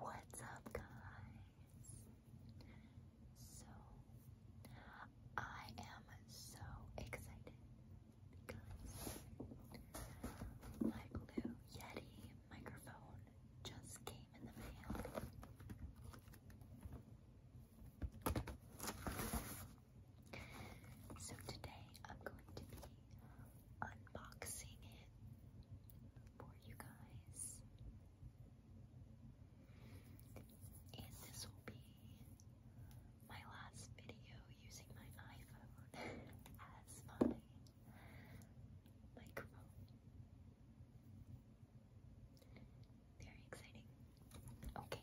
What's up, guys? So, I am so excited because my blue Yeti microphone just came in the mail. So, today I'm going to be unboxing it for you guys. And this will be my last video using my iPhone as my microphone. Very exciting. Okay.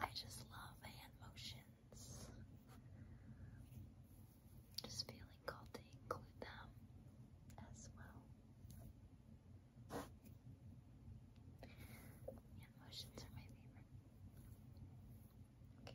I just love hand motions. Just feeling called to include them as well. Hand motions are my favorite. Okay.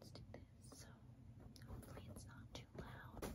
Let's do this. So hopefully it's not too loud. Okay.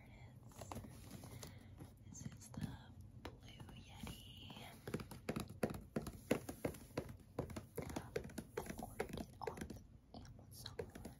here it is. This is the Blue Yeti. I ordered it on Amazon. I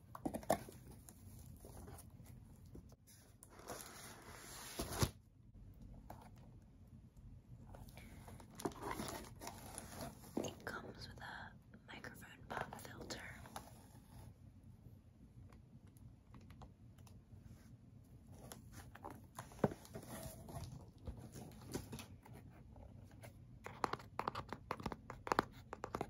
It comes with a microphone pop filter.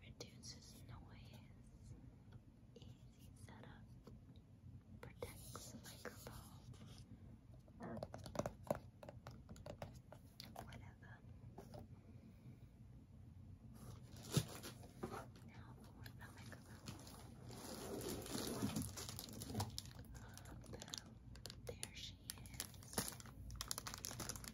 reduces noise, easy setup, protects microphone, whatever. Now for the microphone. there she is.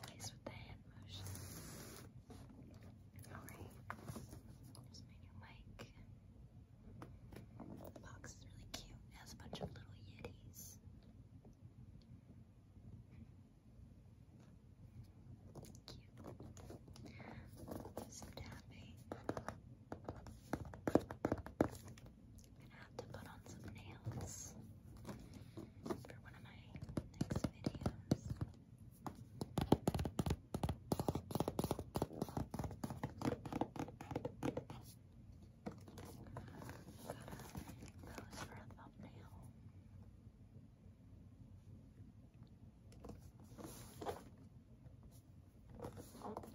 Always with the hand motion. Alright, here's my new mic. The box is really cute. It has a bunch of little yetis. Cute. Some tapping. I'm gonna have to put on some nails for one of my next videos. Pose for a thumbnail. Oh. Okay.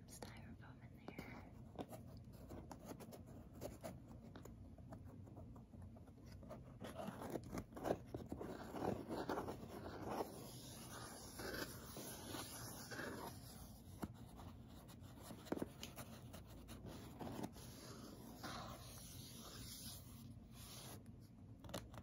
styrofoam in there.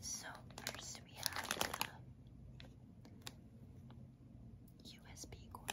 So first we have the USB cord.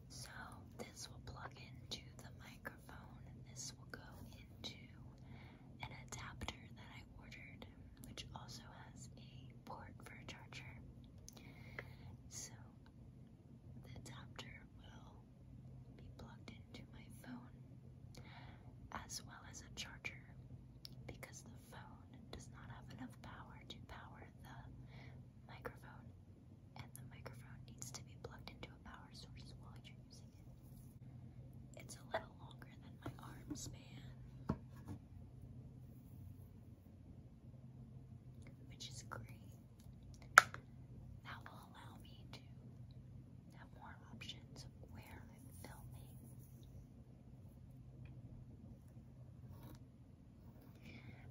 So this will plug into the microphone. This will go into an adapter that I ordered, which also has a port for a charger. So the adapter will be plugged into my phone as well as a charger because the phone does not have enough power to power the microphone, and the microphone needs to be plugged into a power source while you're using it. It's a little longer than my arm span, which is great. That will allow me to have more options where I'm filming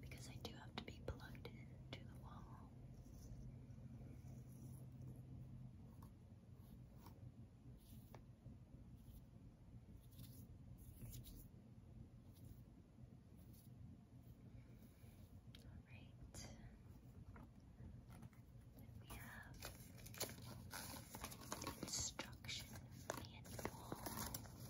because I do have to be plugged into the wall. Alright. We have instruction manual.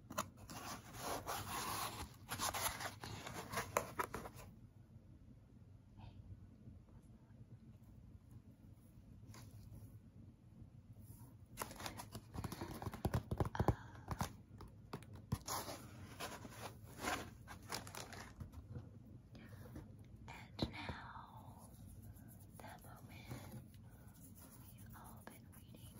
And now, that moment we've all been waiting for.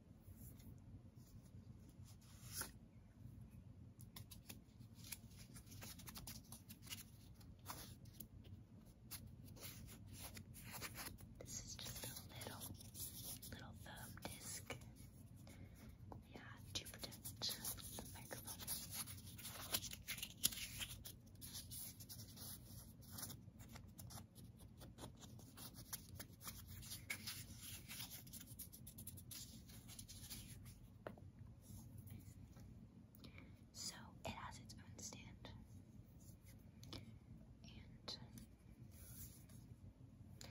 This is just a little, little foam disc. Yeah, to protect the microphone. So it has its own stand. And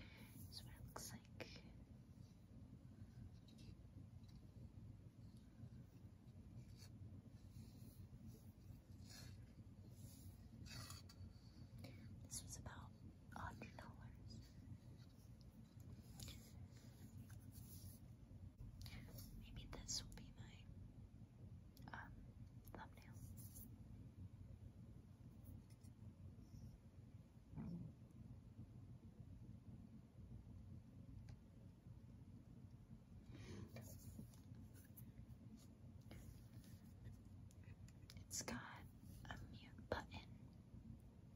this it looks like. This was about a hundred dollars. Maybe this will be my um, thumbnail. It's got a mute button,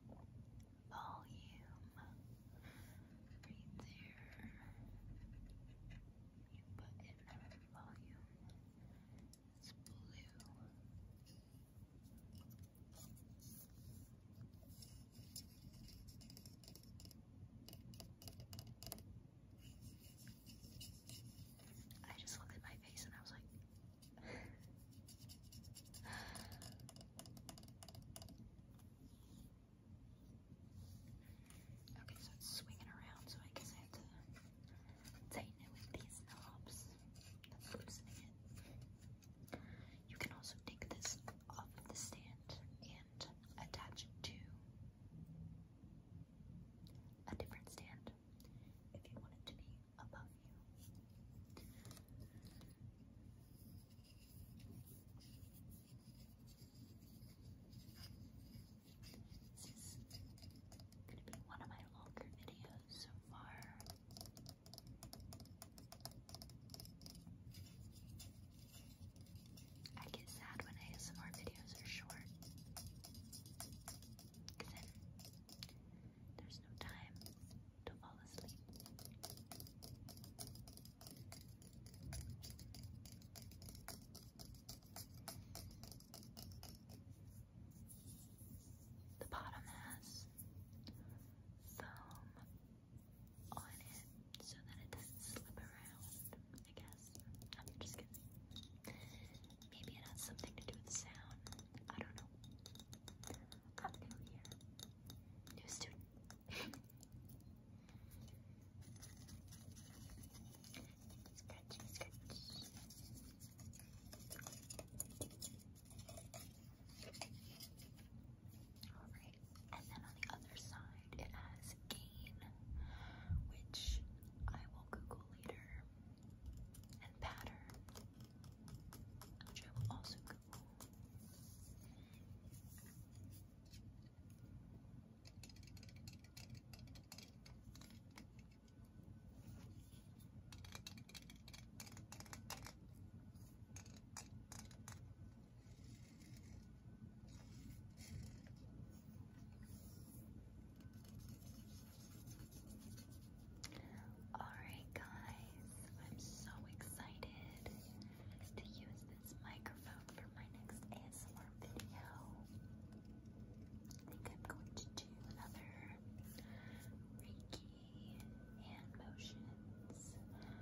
volume right there, mute button, volume. It's blue. I just looked at my face and I was like, okay, so it's swinging around, so I guess I have to tighten it with these knobs that's it. You can also take this off the stand and attach to a different stand if you want it to be above you. This is going to be one of my longer videos so far. I get sad when ASMR videos are short. Because then there's no time to fall asleep. The bottom has foam on it so that it doesn't slip around, I guess. I'm just kidding. Maybe it has something to do with sound. I don't know. I'm ah, new here. New student. scratch, scratch. Alright, and then on the other side, it has is gain, which I will Google later, and pattern, which I will also Google. Alright, guys, I'm so excited to use this microphone for my next ASMR video. I think I'm going to do another Reiki hand motions video,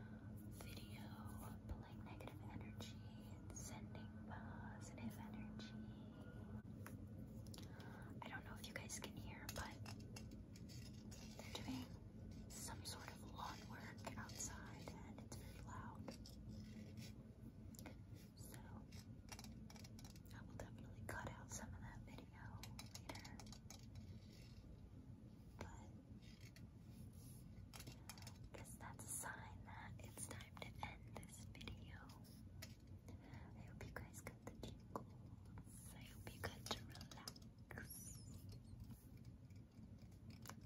pulling negative energy and sending positive energy. I don't know if you guys can hear, but they're doing some sort of lawn work outside and it's very loud. So I will definitely cut out some of that video later. But that's sign that it's time to end video. I hope you guys got the jingle. I hope you got to relax.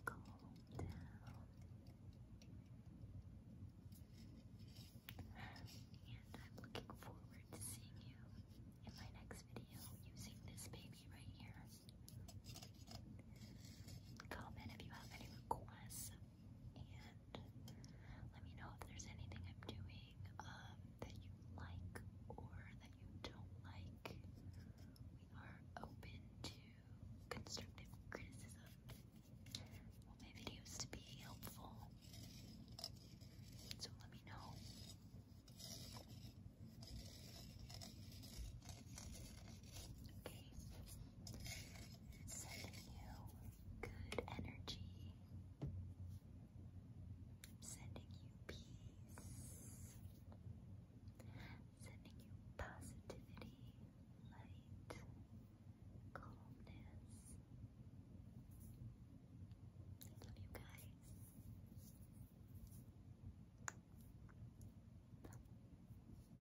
Calm down. And I'm looking forward to seeing you in my next video using this baby right here. Comment if you have any requests and let me know if there's anything I'm doing um, that you like or that you don't like. We are open to constructive criticism. I want my videos to be helpful, so let me know. Okay, sending you good energy. I'm sending you peace. Sending you positivity, light, calmness. I love you guys.